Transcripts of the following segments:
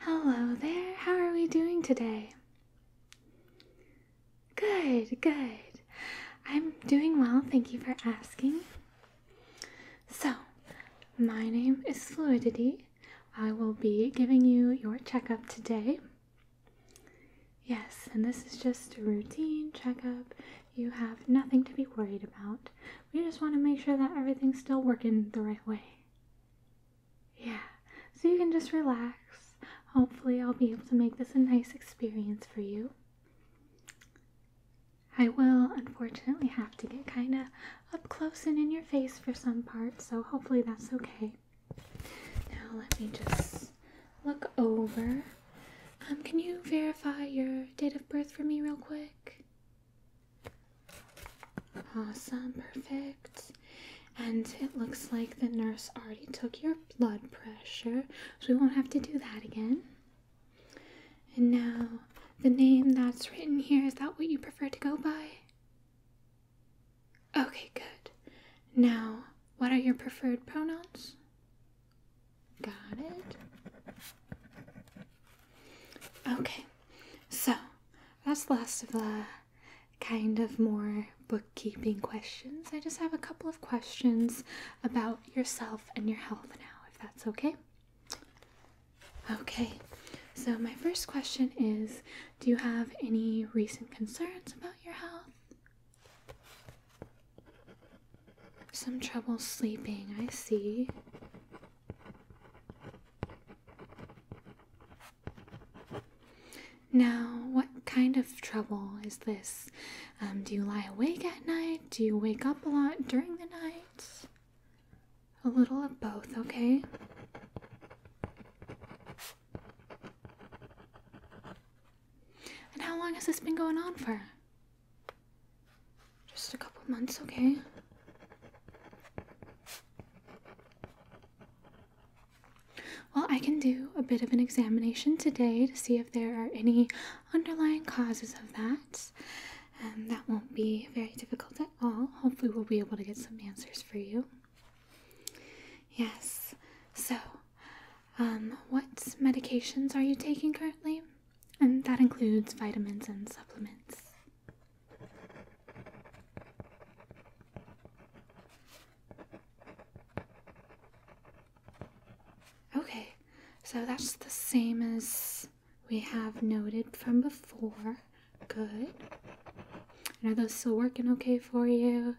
Hello there, how are we doing today? Good, good. I'm doing well, thank you for asking. So, my name is Fluidity. I will be giving you your checkup today. Yes, and this is just a routine checkup. You have nothing to be worried about. We just want to make sure that everything's still working the right way. Yeah, so you can just relax. Hopefully, I'll be able to make this a nice experience for you. I will unfortunately have to get kind of up close and in your face for some parts, so hopefully that's okay. Now, let me just look over. Um, can you verify your date of birth for me, real quick? Awesome, perfect. And it looks like the nurse already took your blood pressure, so we won't have to do that again. And now, the name that's written here is that what you prefer to go by? Okay, good. Now, what are your preferred pronouns? Got it? Okay, so that's the last of the kind of more bookkeeping questions. I just have a couple of questions about yourself and your health now, if that's okay. Okay, so my first question is Do you have any recent concerns about your health? Some trouble sleeping, I see. Now, what kind of trouble is this? Um, do you lie awake at night? Do you wake up a lot during the night? A little of both, okay? And how long has this been going on for? Just a couple months, okay? Well, I can do a bit of an examination today to see if there are any underlying causes of that. And um, that won't be very difficult at all. Hopefully, we'll be able to get some answers for you. Yes. So, um, what medications are you taking currently? and that includes vitamins and supplements. Okay, so that's the same as we have noted from before. Good. are those still working okay for you?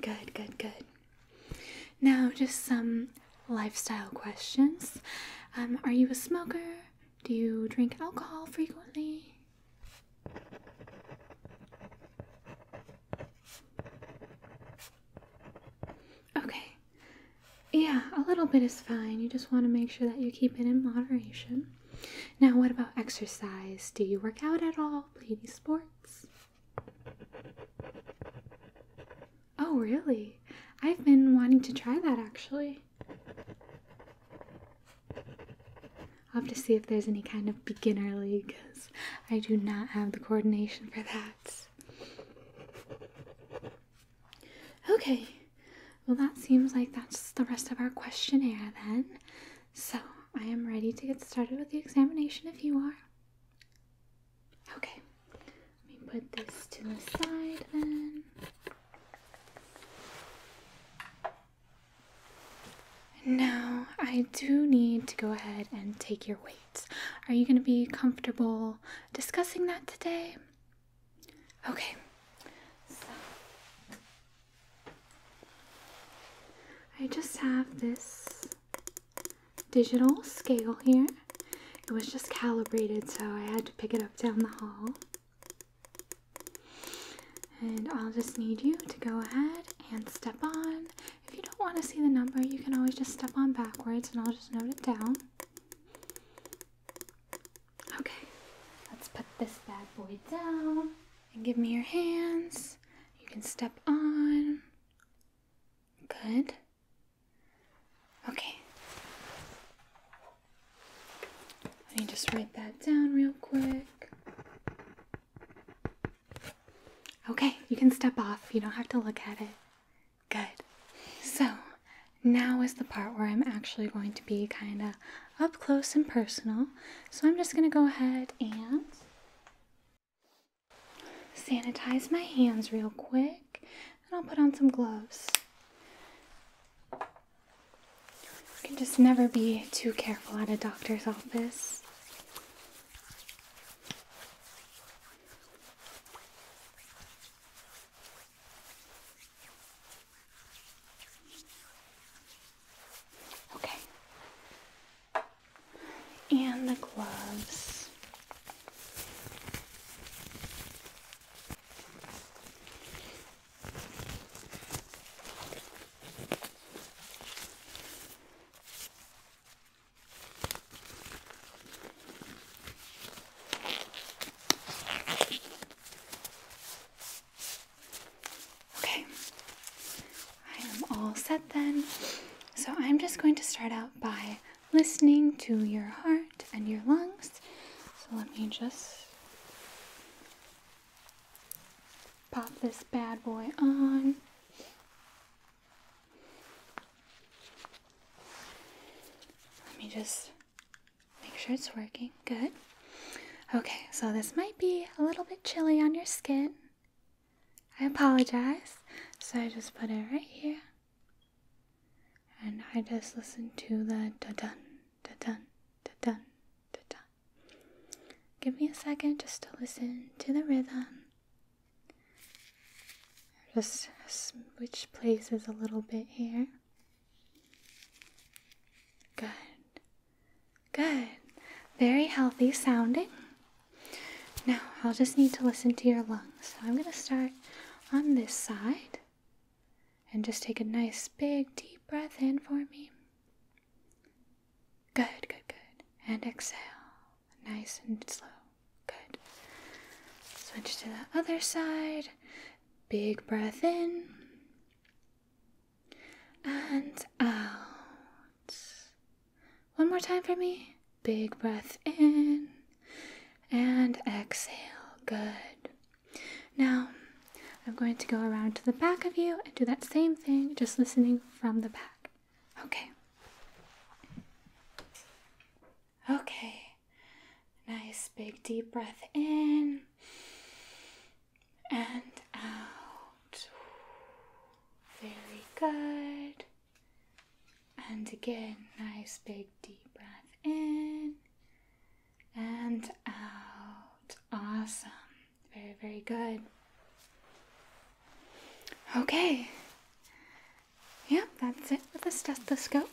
Good, good, good. Now, just some lifestyle questions. Um, are you a smoker? Do you drink alcohol frequently? Okay. Yeah, a little bit is fine. You just want to make sure that you keep it in moderation. Now, what about exercise? Do you work out at all? Play any sports? Oh, really? I've been wanting to try that actually. I'll have to see if there's any kind of beginner league because I do not have the coordination for that. Okay, well, that seems like that's the rest of our questionnaire then. So I am ready to get started with the examination if you are. Okay, let me put this to the side then. Now, I do need to go ahead and take your weights. Are you going to be comfortable discussing that today? Okay. I just have this digital scale here. It was just calibrated, so I had to pick it up down the hall. And I'll just need you to go ahead and step on. If you don't want to see the number, you can always just step on backwards and I'll just note it down. Okay, let's put this bad boy down and give me your hands. You can step on. Good. Okay. Let me just write that down real quick. Okay, you can step off. You don't have to look at it. Good. So, now is the part where I'm actually going to be kind of up close and personal. So, I'm just going to go ahead and sanitize my hands real quick and I'll put on some gloves. You can just never be too careful at a doctor's office. Okay and the gloves. Okay, I am all set then. So I'm just going to start out by listening to your heart and your lungs. So let me just pop this bad boy on. Let me just make sure it's working. Good. Okay, so this might be a little bit chilly on your skin. I apologize. So I just put it right here. And I just listen to the da da da da da dun, da dun. Give me a second just to listen to the rhythm. Just switch places a little bit here. Good. Good. Very healthy sounding. Now, I'll just need to listen to your lungs. So I'm going to start on this side and just take a nice big deep breath in for me. Good, good, good. And exhale. Nice and slow. Good. Switch to the other side. Big breath in. And out. One more time for me. Big breath in and exhale. Good. Now, I'm going to go around to the back of you and do that same thing, just listening from the back. Okay. Okay. Nice big deep breath in and out. Very good. And again, nice big deep breath in and out. Awesome. Very, very good. Okay. Yep, that's it with the stethoscope.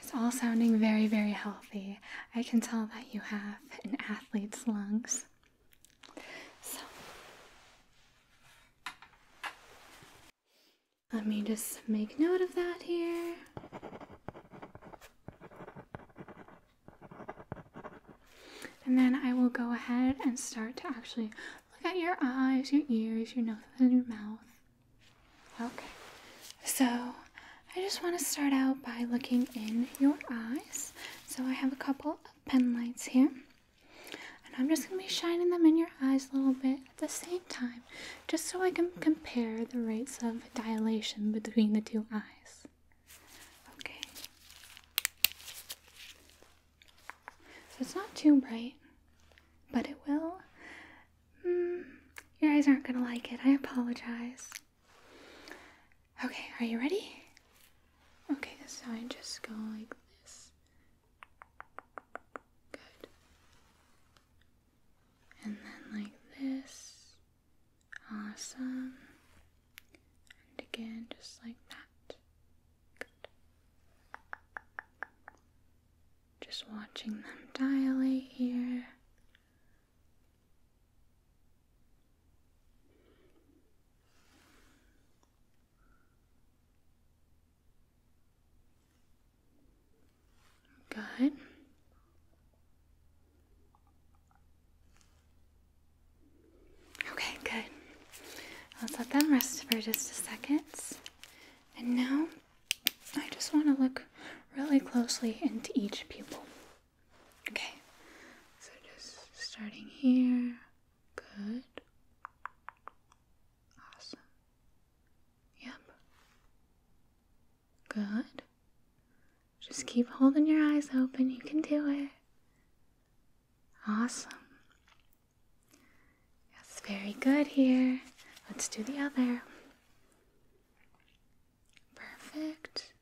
It's all sounding very, very healthy. I can tell that you have have an athlete's lungs. So let me just make note of that here. And then I will go ahead and start to actually look at your eyes, your ears, your nose, and your mouth. Okay, so, I just want to start out by looking in your eyes. So, I have a couple of pen lights here. And I'm just going to be shining them in your eyes a little bit at the same time, just so I can compare the rates of dilation between the two eyes. Okay. So, it's not too bright, but it will. Hmm, your eyes aren't going to like it. I apologize. Okay, are you ready? Okay, so I just go like this. Good. And then like this. Awesome. And again, just like that. Good. Just watching them dilate here. Good. Okay, good. Let's let them rest for just a second. And now I just want to look really closely into each pupil. Okay, so just starting here. Good. Awesome. Yep. Good. Just keep holding your eyes open. You can do it. Awesome. That's very good here. Let's do the other. Perfect.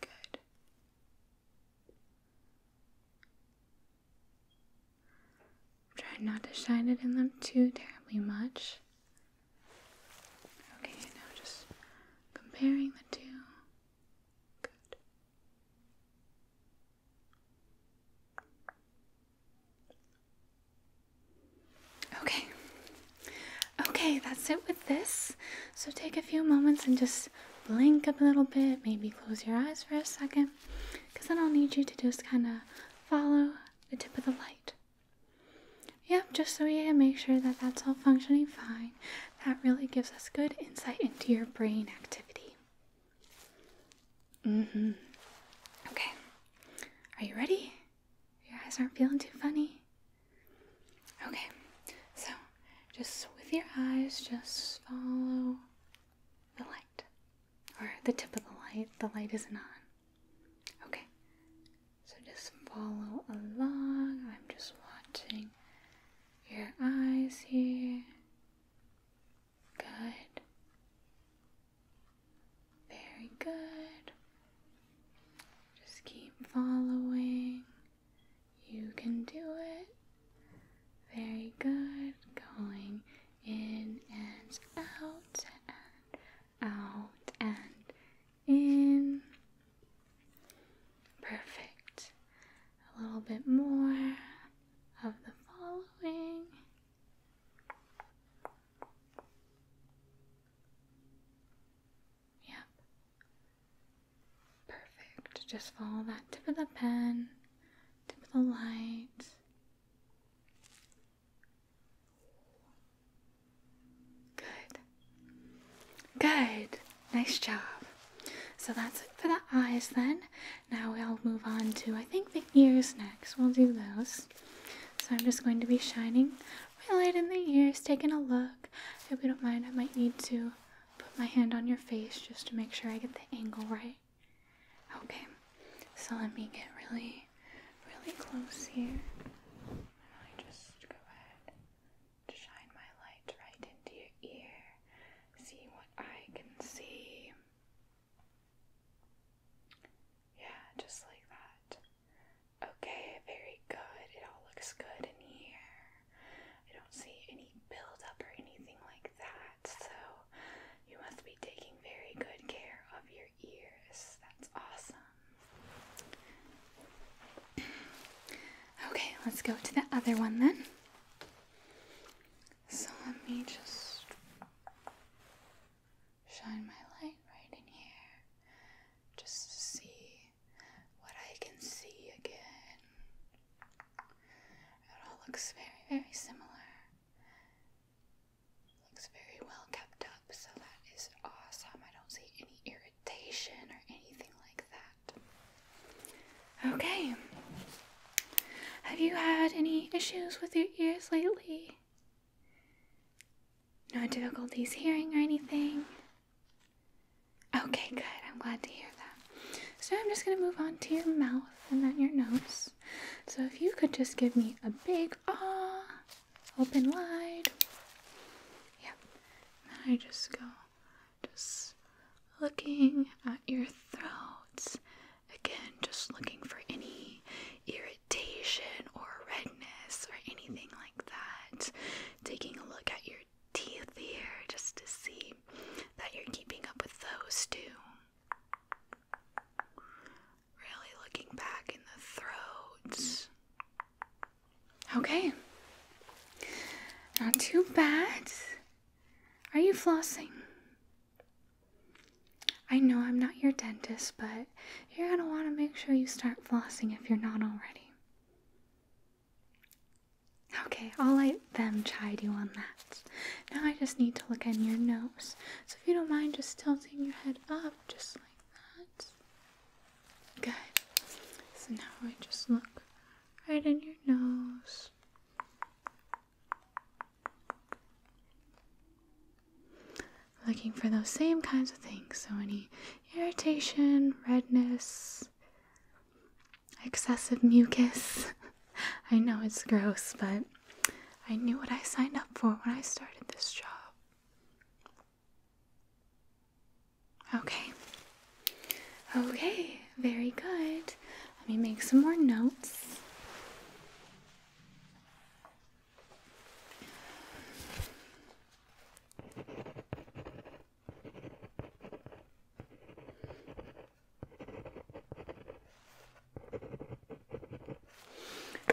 Good. Try not to shine it in them too terribly much. Okay, now just comparing the two. Good. Okay. Okay, that's it with this. So take a few moments and just blink up a little bit, maybe close your eyes for a second, because then I'll need you to just kind of follow the tip of the light. Yep, just so we can make sure that that's all functioning fine. That really gives us good insight into your brain activity. Mm hmm. Okay. Are you ready? Your eyes aren't feeling too funny. Okay, so just with your eyes, just follow the light or the tip of the light. The light isn't on. Okay, so just follow along. I'm just watching your eyes here. Good. Very good. Just keep following. You can do it. Very good. Going in and out and out and in. Perfect. A little bit more of the following. Yep. Perfect. Just follow that tip of the pen, tip of the light. Good. Good. Nice job. So that's it for the eyes then. Now we'll move on to, I think, the ears next. We'll do those. So I'm just going to be shining my light in the ears, taking a look. If you don't mind. I might need to put my hand on your face just to make sure I get the angle right. Okay, so let me get really, really close here. just go ahead to shine my light right into your ear. See what I can see. Yeah, just like that. Okay, very good. It all looks good in here. I don't see any buildup or anything like that, so you must be taking very good care of your ears. That's awesome. Okay, let's go to the other one then. So let me just shine my light right in here just to see what I can see again. It all looks very, very similar. Looks very well kept up, so that is awesome. I don't see any irritation or anything like that. Okay. Have you had any issues with your ears lately? No difficulties hearing or anything? Okay, good. I'm glad to hear that. So I'm just going to move on to your mouth and then your nose. So if you could just give me a big ah, open wide. Yep. And then I just go just looking at your throats. Again, just looking for any irritation or redness or anything like that. Taking a look at your teeth here just to see that you're keeping up with those too. Really looking back in the throat. Okay. Not too bad. Are you flossing? I know I'm not your dentist, but you're going to want to make sure you start flossing if you're not already. Okay, I'll let them chide you on that. Now I just need to look in your nose. So if you don't mind just tilting your head up just like that. Good. So now I just look right in your nose. Looking for those same kinds of things. So, any irritation, redness, excessive mucus. I know it's gross, but I knew what I signed up for when I started this job. Okay. Okay, very good. Let me make some more notes.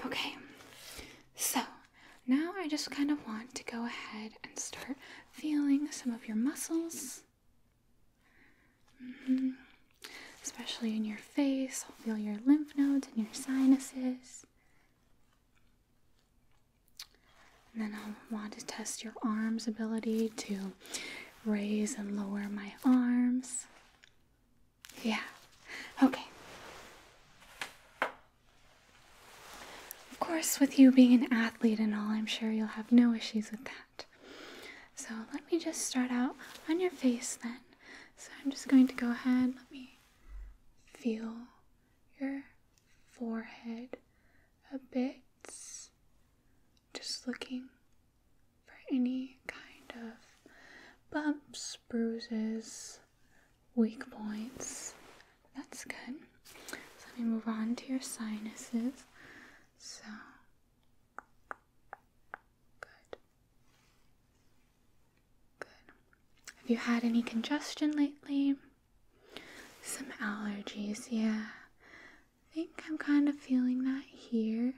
Okay, so now I just kind of want to go ahead and start feeling some of your muscles. Mm -hmm. Especially in your face, I'll feel your lymph nodes and your sinuses. then I'll want to test your arms' ability to raise and lower my arms. Yeah, okay. Of course, with you being an athlete and all, I'm sure you'll have no issues with that. So let me just start out on your face then. So I'm just going to go ahead, let me feel your forehead a bit. Just looking for any kind of bumps, bruises, weak points. That's good. So let me move on to your sinuses. So Good. Good. Have you had any congestion lately? Some allergies, yeah. I think I'm kind of feeling that here.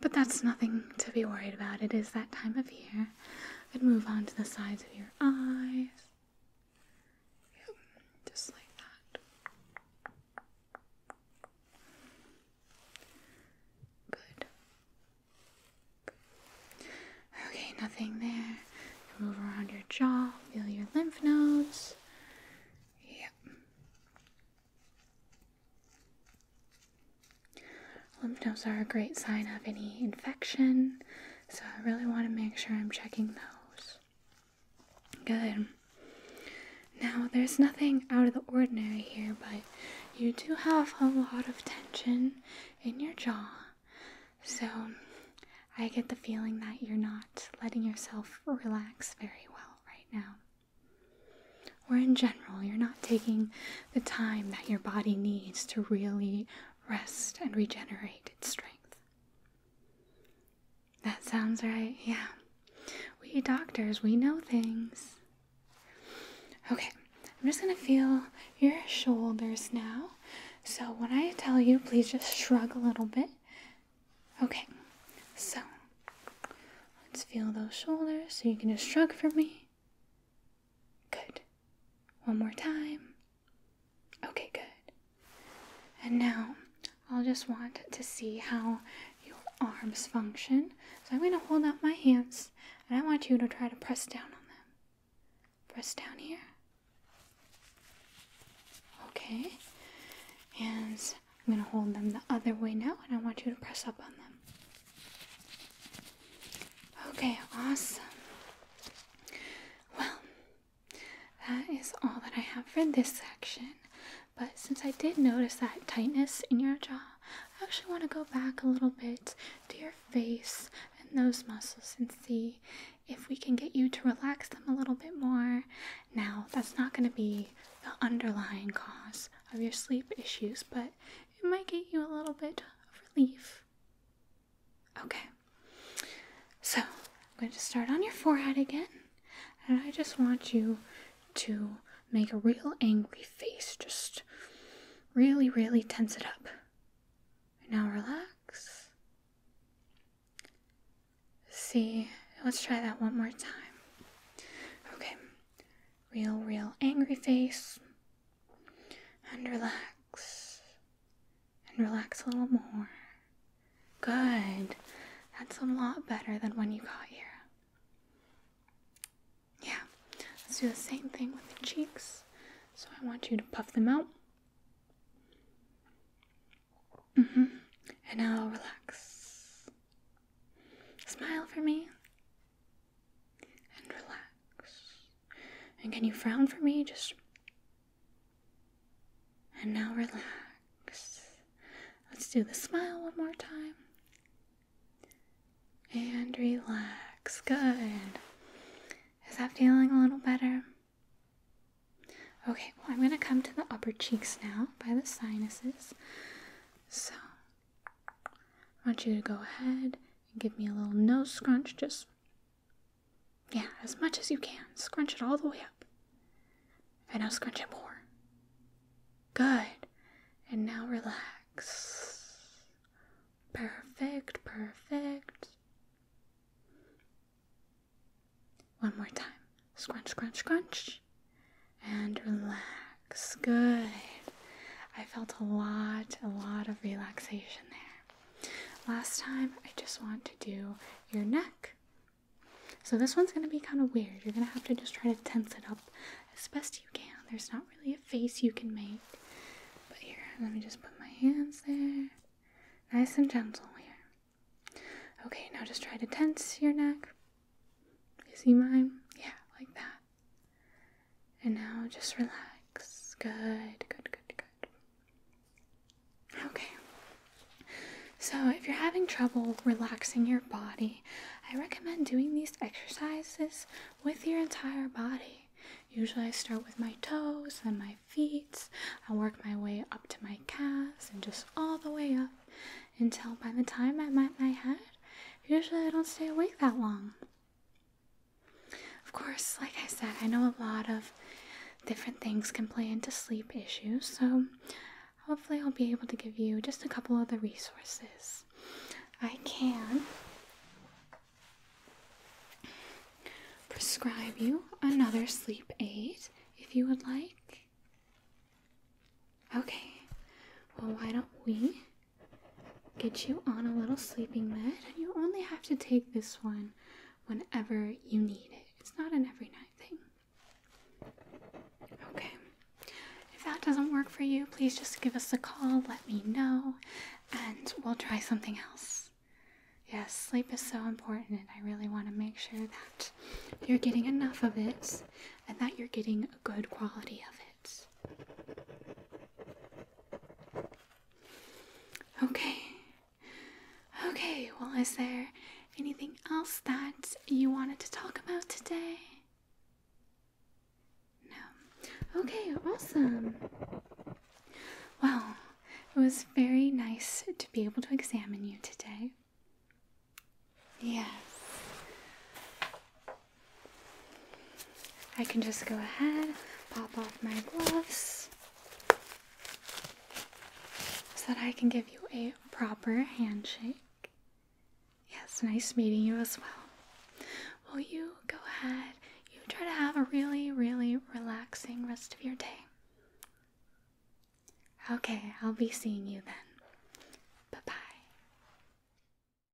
But that's nothing to be worried about. It is that time of year. I'd move on to the sides of your eyes. Yeah, just like that. Good. Okay, nothing there. Move around your jaw, feel your lymph nodes. Yep. Lymph nodes are a great sign of any infection. So I really want to make sure I'm checking those. Good. Now, there's nothing out of the ordinary here, but you do have a lot of tension in your jaw. So I get the feeling that you're not letting yourself relax very well right now. Or in general, you're not taking the time that your body needs to really rest and regenerate its strength. That sounds right, yeah. We doctors, we know things. Okay, I'm just gonna feel your shoulders now. So when I tell you, please just shrug a little bit. Okay, so let's feel those shoulders. So you can just shrug for me. Good. One more time. Okay, good. And now I'll just want to see how your arms function. So I'm going to hold up my hands and I want you to try to press down on them. Press down here. Okay. And I'm going to hold them the other way now and I want you to press up on them. Okay, awesome. Well, that is all that I have for this section. But since I did notice that tightness in your jaw, I actually want to go back a little bit to your face and those muscles and see if we can get you to relax them a little bit more. Now, that's not going to be the underlying cause of your sleep issues, but it might get you a little bit of relief. Okay. So, I'm going to start on your forehead again. And I just want you to make a real angry face. Just really, really tense it up. Now relax. See, let's try that one more time. Okay. Real, real angry face and relax and relax a little more. Good. That's a lot better than when you got here. Yeah, let's do the same thing with the cheeks. So I want you to puff them out. Mm-hmm. And now relax. Smile for me and relax. And can you frown for me? Just. And now relax. Let's do the smile one more time. And relax. Good. Is that feeling a little better? Okay, well, I'm going to come to the upper cheeks now by the sinuses. So, I want you to go ahead and give me a little nose scrunch. Just, yeah, as much as you can. Scrunch it all the way up. And now scrunch it more. Good. And now relax. Perfect, perfect. One more time. Scrunch, scrunch, scrunch. And relax. Good. I felt a lot, a lot of relaxation there. Last time, I just want to do your neck. So this one's going to be kind of weird. You're going to have to just try to tense it up as best you can. There's not really a face you can make. But here, let me just put my hands there. Nice and gentle here. Okay, now just try to tense your neck. You see mine? Yeah, like that. And now just relax. Good, good, good, good. Okay. So, if you're having trouble relaxing your body, I recommend doing these exercises with your entire body. Usually, I start with my toes, and my feet. I work my way up to my calves and just all the way up until by the time I'm at my head, usually I don't stay awake that long. Of course, like I said, I know a lot of different things can play into sleep issues, so hopefully, I'll be able to give you just a couple of the resources I can prescribe you another sleep aid if you would like. Okay, well, why don't we get you on a little sleeping med, you only have to take this one whenever you need it. It's not an every night thing. Okay. If that doesn't work for you, please just give us a call, let me know, and we'll try something else. Yes, sleep is so important, and I really want to make sure that you're getting enough of it and that you're getting a good quality of it. Okay. Okay, well, is there anything else that you wanted to talk about today? No. Okay, awesome. Well, it was very nice to be able to examine you today. Yes. I can just go ahead, pop off my gloves so that I can give you a proper handshake. Yes, nice meeting you as well. Will you go ahead? You try to have a really, really relaxing rest of your day. Okay, I'll be seeing you then. Bye bye.